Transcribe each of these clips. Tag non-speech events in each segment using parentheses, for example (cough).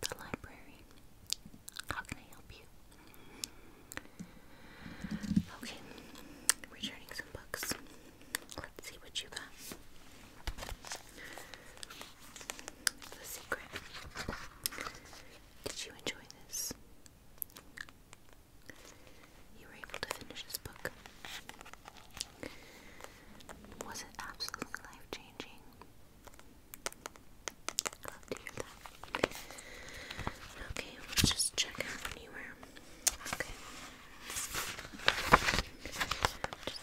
the library. How can I help you? Okay, returning some books. Let's see what you got. The Secret. Did you enjoy this? You were able to finish this book. Was it absolutely life changing? Love to hear that. Okay, we'll just check out anywhere. Okay. Just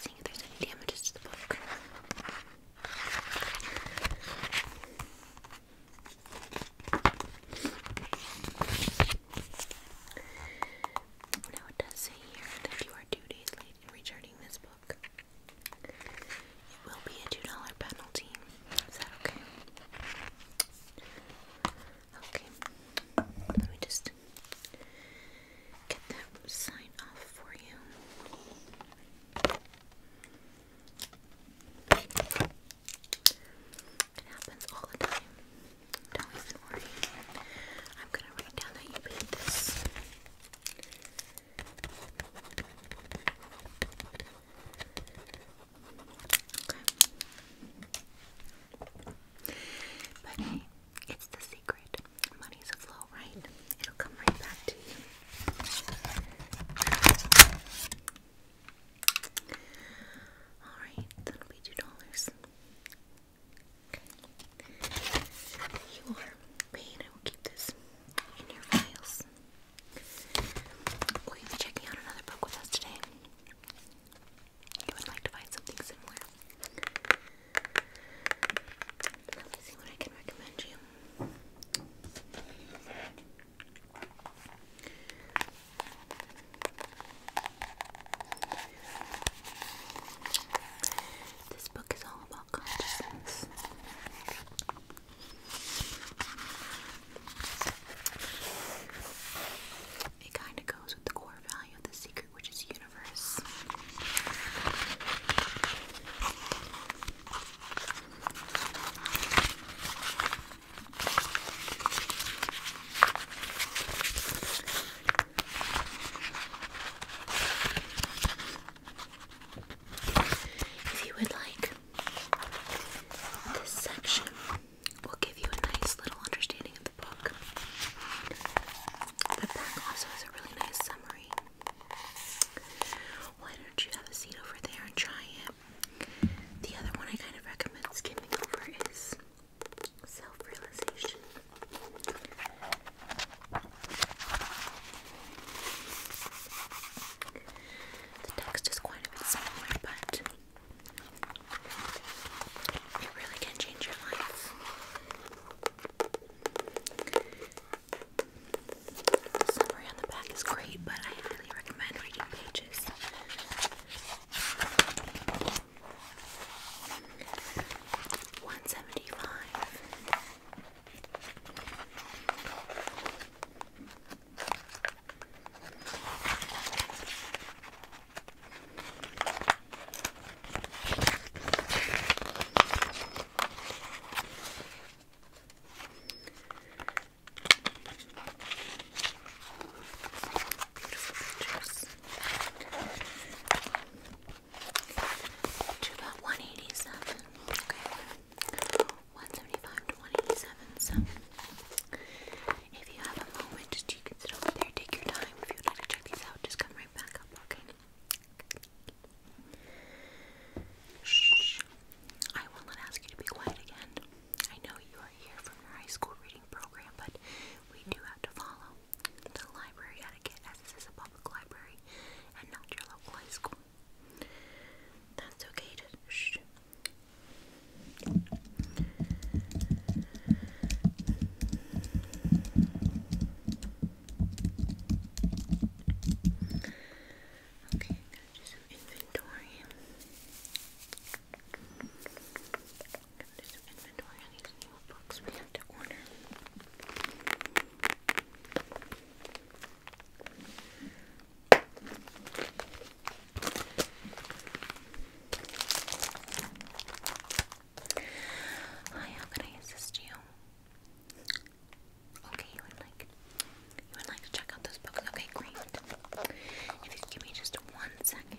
seeing if there's any damages to the book. Now it does say here that you are two days late in returning this book. It will be a two dollar penalty. Is that okay? Okay. Let me just get that sign off for you. It happens all the time. Don't even worry. I'm gonna write down that you paid this. Okay. But hey, it's the secret. Money's a flow, right? It'll come right back to you. Alright, that'll be two dollars. Okay. You are. I will keep this in your files. Will be checking out another book with us today? You would like to find something similar. Let me see what I can recommend you. This book is all about consciousness. It kind of goes with the core value of the secret, which is universe. If you would like, this section will give you a nice little understanding of the book. The back also has a really nice summary. Why don't you have a seat over there and try it? The other one I kind of recommend skimming over is self realization. The text is quite a bit smaller, but it really can change your life. The summary on the back is great, but I highly recommend reading pages one seventy five. Beautiful pictures to Okay. 175 to So if you have a moment, just you can sit there, take your time. If you would like to check these out, just come right back up, okay? Shh. I will not ask you to be quiet again. I know you are here from your high school reading program, but we do have to follow the library etiquette as this is a public library and not your local high school. That's okay shh. Okay, i inventory. i inventory these new books we have to order. Hi, how can I assist you? Okay, you would like you would like to check out those books. Okay, great. give me just one second.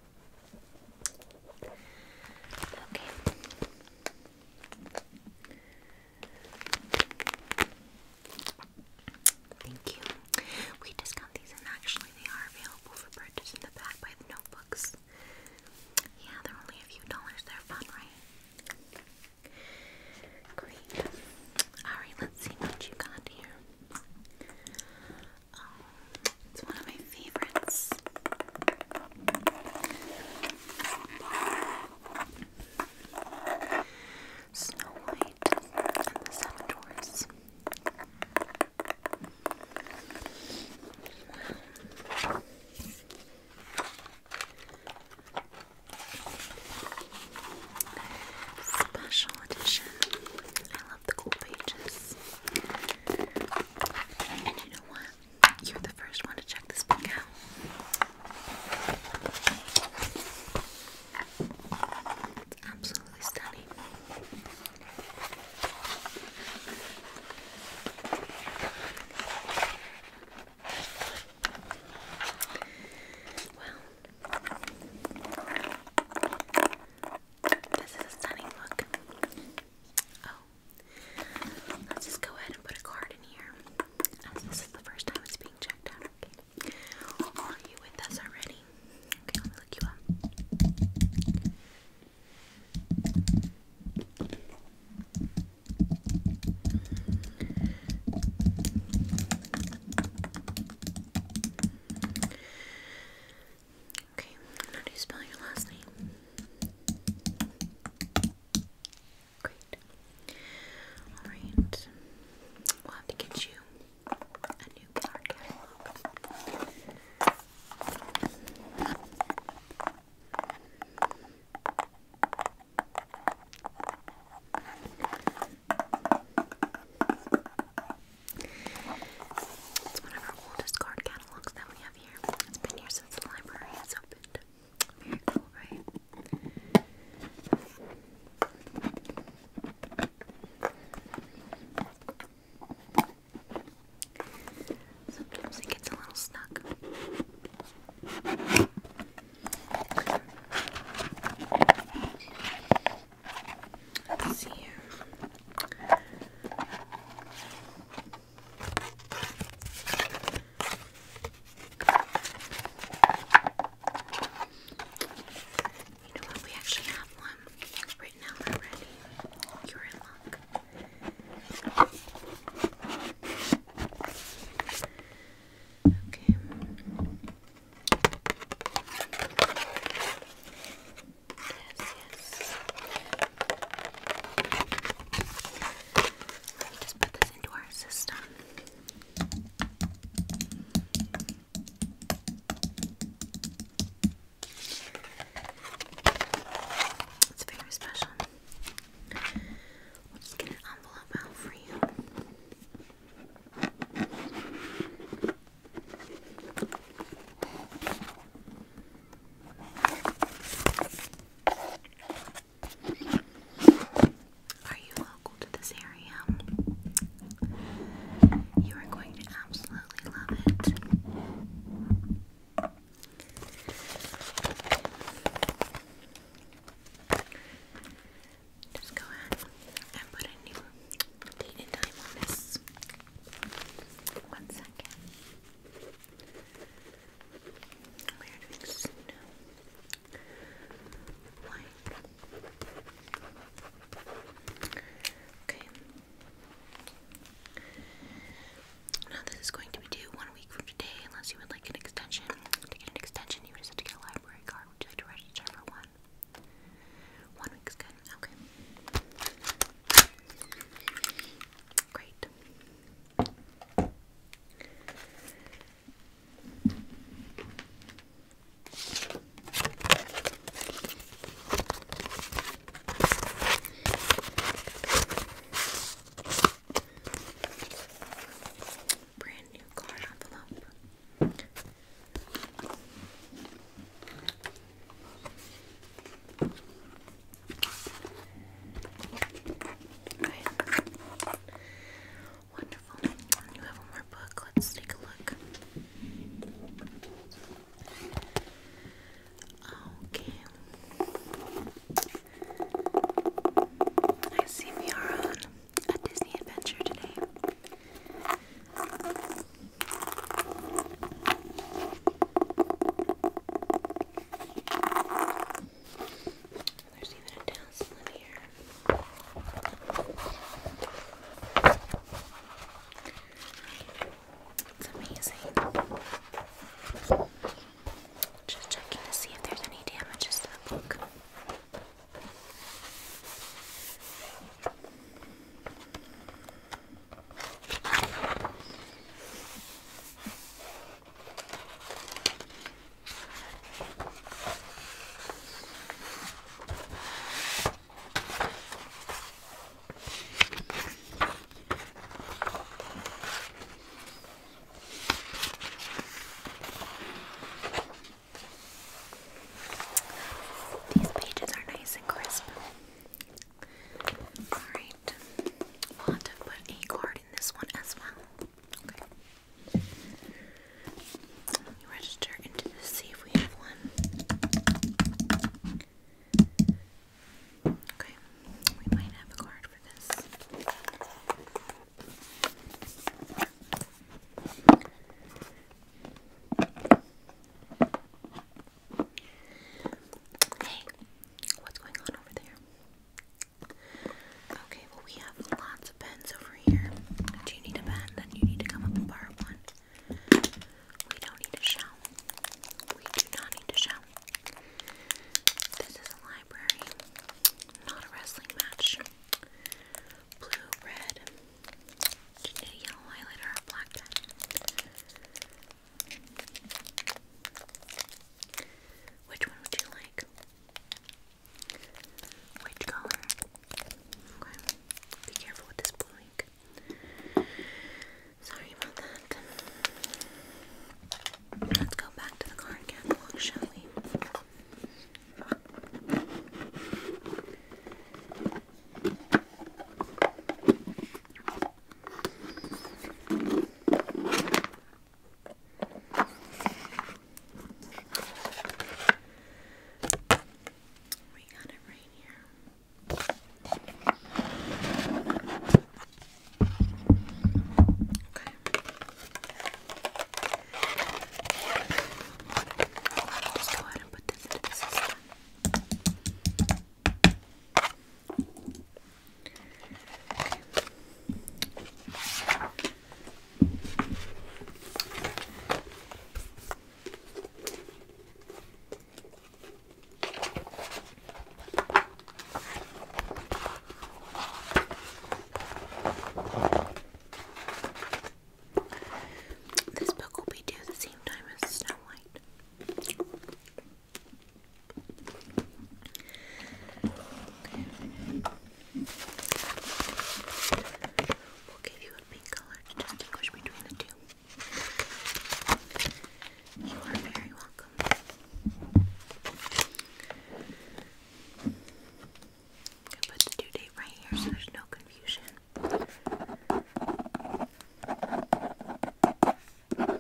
Okay. Thank you. We discount these, and actually, they are available for purchase in the back by the notebooks. Yeah, they're only a few dollars. They're fun, right? Great. Alright, let's see what you got here. Um, it's one of my favorites. Snow White and the Seven Dwarfs. Special edition. I love the cool pages. And you know what? You're the first one to check this book out. It's absolutely stunning. Well, this is a stunning book. Oh, Let's just go ahead and put a card in here, as this is the first time it's being checked out. Okay. Are you with us already? Okay, let me look you up. Okay, how do you spell your last name? Great. Alright. We'll have to get you a new card catalog. It's one of our oldest card catalogs that we it's been here since the library has opened. Very cool, right? Sometimes it gets a little stuck. Let's see here. You We actually have one written out already. You're in luck. Okay. Yes, just put this into our system. It's very special. We'll just get an envelope out for you. Are you local to this area? You are going to absolutely love it. Just go ahead and put a new date and time on this. One second. We Okay. Now this is going to be due one week from today, unless you would like an extension. To get an extension, you would just have to get a library card. Would you like to register for one? One week's good. Okay. Great. Brand new card envelope. Wonderful. You have one more book. Let's take a look. Okay. I see we are on a Disney adventure today. There's even a tassel here. It's amazing. Just checking to see if there's any damages to the book. These pages are nice and crisp. Alright, we'll have to put a card in this one as well. Okay. register into this, see if we have one. Okay, we might have a card for this. Hey, what's going on over there? Okay, well, we have lots of pens over here. Do you need a pen? Then you need to come up and borrow one. We don't need a shell. We do not need a shell. This is a library, not a wrestling match. Blue, red, do you need a yellow highlighter or a black pen? Which one would you like? Which color? Okay. Be careful with this blue Sorry about that. Let's go back to the card catalog, shall we? We got it right here. Okay. Let's go ahead and put this into the system. Okay. This book will be due the same time as Snow White. We'll give you a pink color to distinguish between the two. You are very welcome. I put the due date right here so there's no confusion. Okay.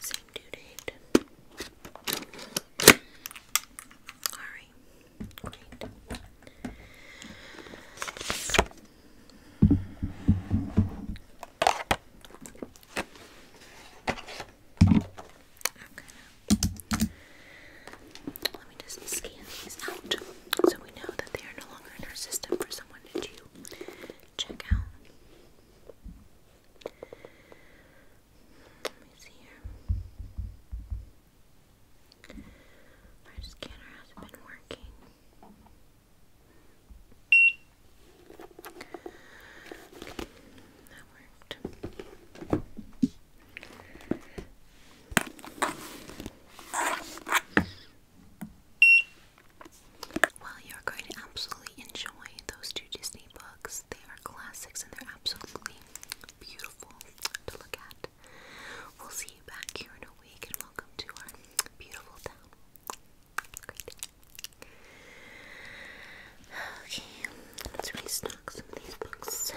Same due date. Alright. Great. Okay. Let me just scan these out so we know that they are no longer in our system for someone to check out. Let me see here. Our scanner has been working. that worked. Well, you're going to absolutely enjoy those two Disney books. They are classics and they're absolutely beautiful to look at. We'll see you back here in a week and welcome to our beautiful town. Okay, let's really stock some of these books.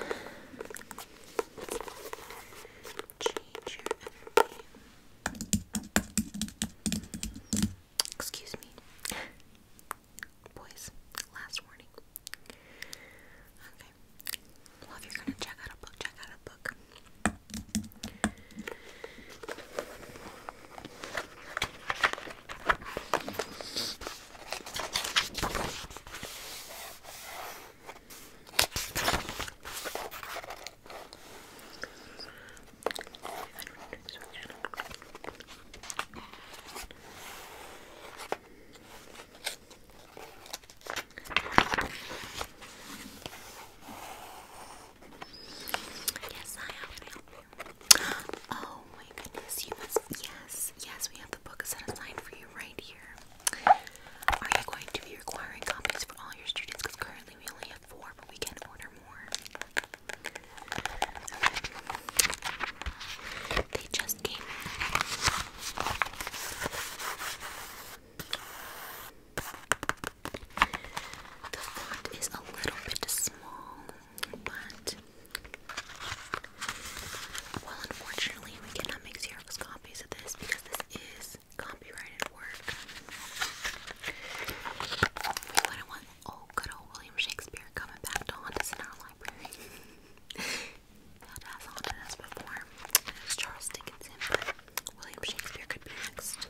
Excuse me. Boys, last warning. Okay. Well, if you're gonna check out a book, check out a book. Yes, I have to help you. Oh my goodness, Yes, yes, we have the book set aside for you right here. Are you going to be requiring copies for all your students? Because currently we only have four, but we can order more. They just came The font is a little bit small, but well, unfortunately, we cannot make 0 Xerox copies of this because this is copyrighted work. We wouldn't want oh good old William Shakespeare coming back to haunt us in our library. that (laughs) has haunted us before. And it's Charles Dickinson, but William Shakespeare could be next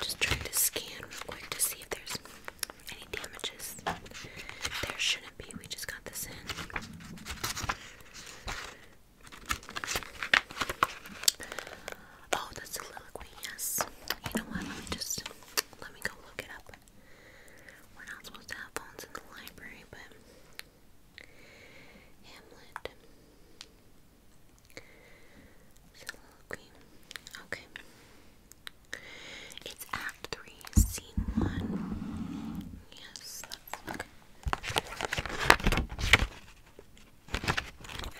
just trying to scan real quick to see if there's any damages. There shouldn't be, we just got this in. Oh, that's soliloquy, yes. You know what? just let me go look it up. We're not supposed to have phones in the library, but Hamlet. Okay. It's Act 3, Scene 1. Yes, that's okay.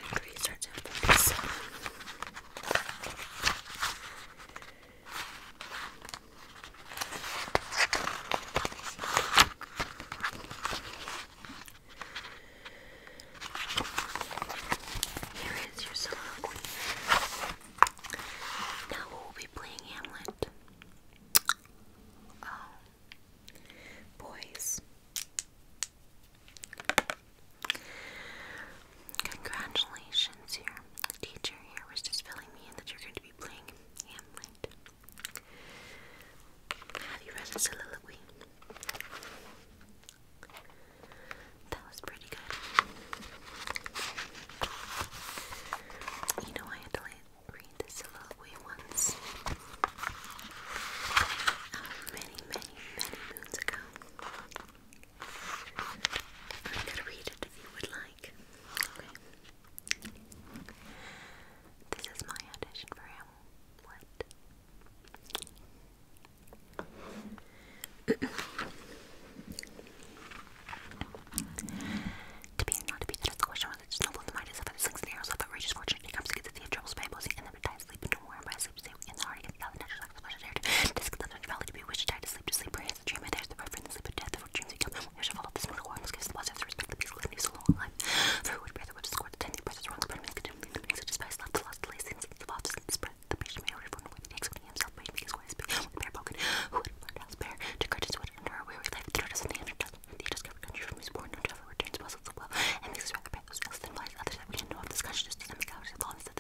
Act 3 starts at 47. Here is your soliloquy. Now we'll be playing Hamlet. Oh. Boys, Congratulations, your teacher here was just telling me that you're going to be playing Hamlet. Have you read a soliloquy? That was pretty good. You know, I had to read the soliloquy once. Um, many, many, many moons ago. I'm read it if you would like. Okay. This is my audition for him. What? to be not to be, that is the question whether it's noble in the mind is of the six narrows of outrageous fortune. He comes against the troubles by opposing and hypnotized sleep into warm by sleep, so in the heart against thousand natural like the flesh valley to be wished, die to sleep, to sleep, pray as a dream, and there's the reference, sleep of death, the dreams you kill, you shall follow this mortal war, must give the blessings, respect the peace, live so long life. For who would bear the witches, score the ten, the presses, wrongs, burn, make doom, the meanings of love, the lost, the lazy, sins, the the spread, the patient may order, for no way to take, himself, may make his way, bare broken, who would learn how to spare, to courteous, would endure a weary life, the tortoise and the hand, the undiscovered country from whose born, no traveler returns, puzzles the well, and makes his rather pathos, else than flies, others that we know of, this consciousness, dynamic, hours, the law, and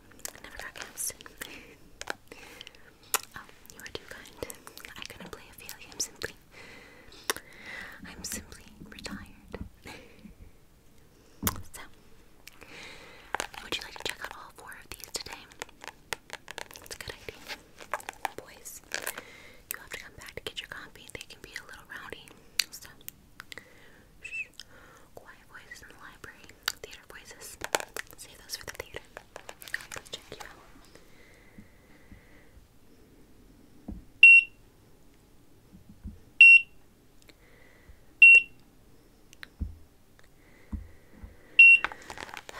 Never broadcast. oh, you are too kind. I couldn't play Ophelia. I'm simply. I'm simply retired. (laughs) so, would you like to check out all four of these today? It's a good idea. Boys, you have to come back to get your coffee. They can be a little rowdy. So, Quiet Voices in the Library, Theater Voices. Save those for the theater. check you out.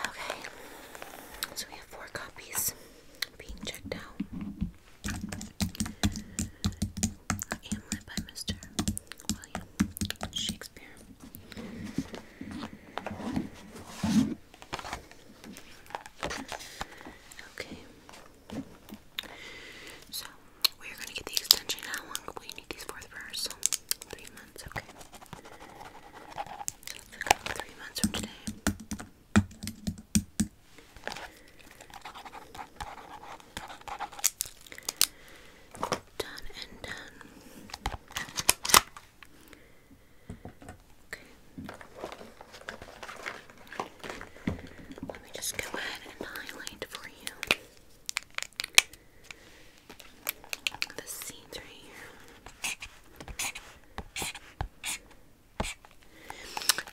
Okay, so we have four copies being checked out. Hamlet by Mr. William Shakespeare. Okay. So we're gonna get the extension. How we need these for the first? Three months, okay. three months from today. Done Let me just go ahead and highlight for you the seeds right here.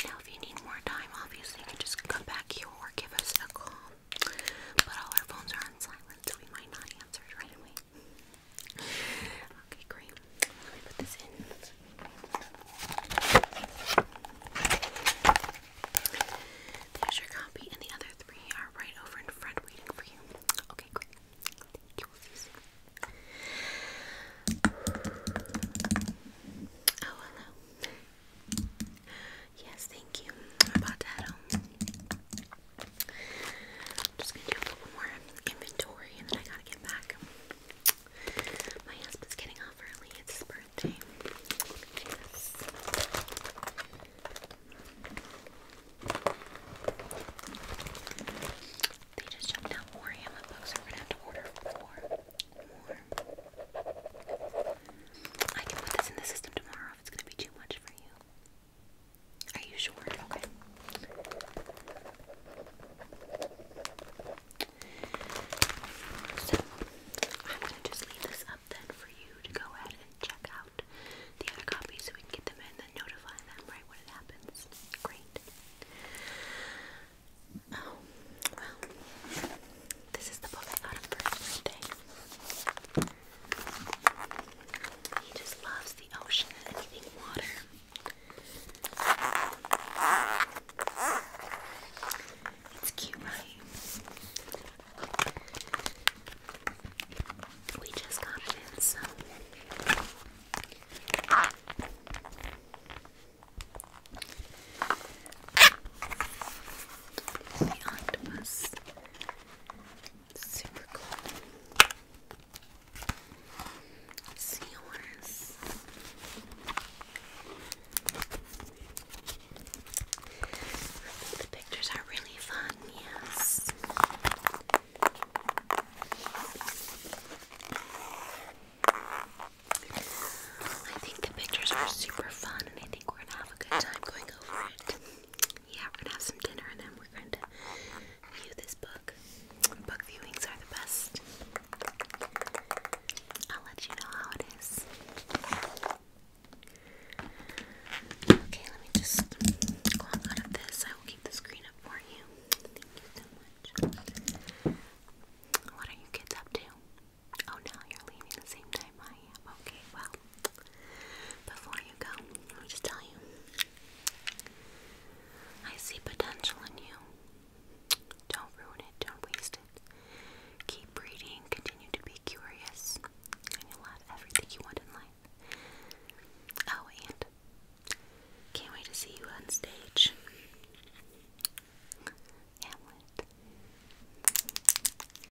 Now, if you need more time, obviously you can just come back here or give us a call. But all our phones are on silent, so we might not answer it right away. Okay, great. Let me put this in. There's your copy, and the other three are right over in front waiting for you. Okay, great. Thank you. Oh, hello. Yes, thank you. About that, um, i just gonna do a little more inventory, and then I gotta get back. My husband's getting off early. It's his birthday. They just jumped out more ammo books. So we're gonna have to order four more. I can put this in the system tomorrow it's gonna be too much for you. Are you sure? Okay. So I'm gonna just leave this up then for you to go ahead and check out the other copies so we can get them in and notify them right when it happens. Great. Oh, well, this is the book he just loves the ocean and anything water. It's cute, right? We just got it in, so. The octopus Super cool. It's The pictures are really fun, yes. I think the pictures are super fun, and I think we're gonna have a good time going over it yeah, we're gonna have some dinner and then we're going to view this book. Book viewings are the best. I'll let you know how it is. Okay, let me just go out of this. I will keep the screen up for you. Thank you so much. What are you kids up to? Oh no, you're leaving the same time I am. Okay, well, before you go, let me just tell you. I see potential in you. Don't ruin it, don't waste it. Keep reading, continue to be curious, and you'll have everything you want in life. Oh, and can't wait to see you on stage. Hamlet.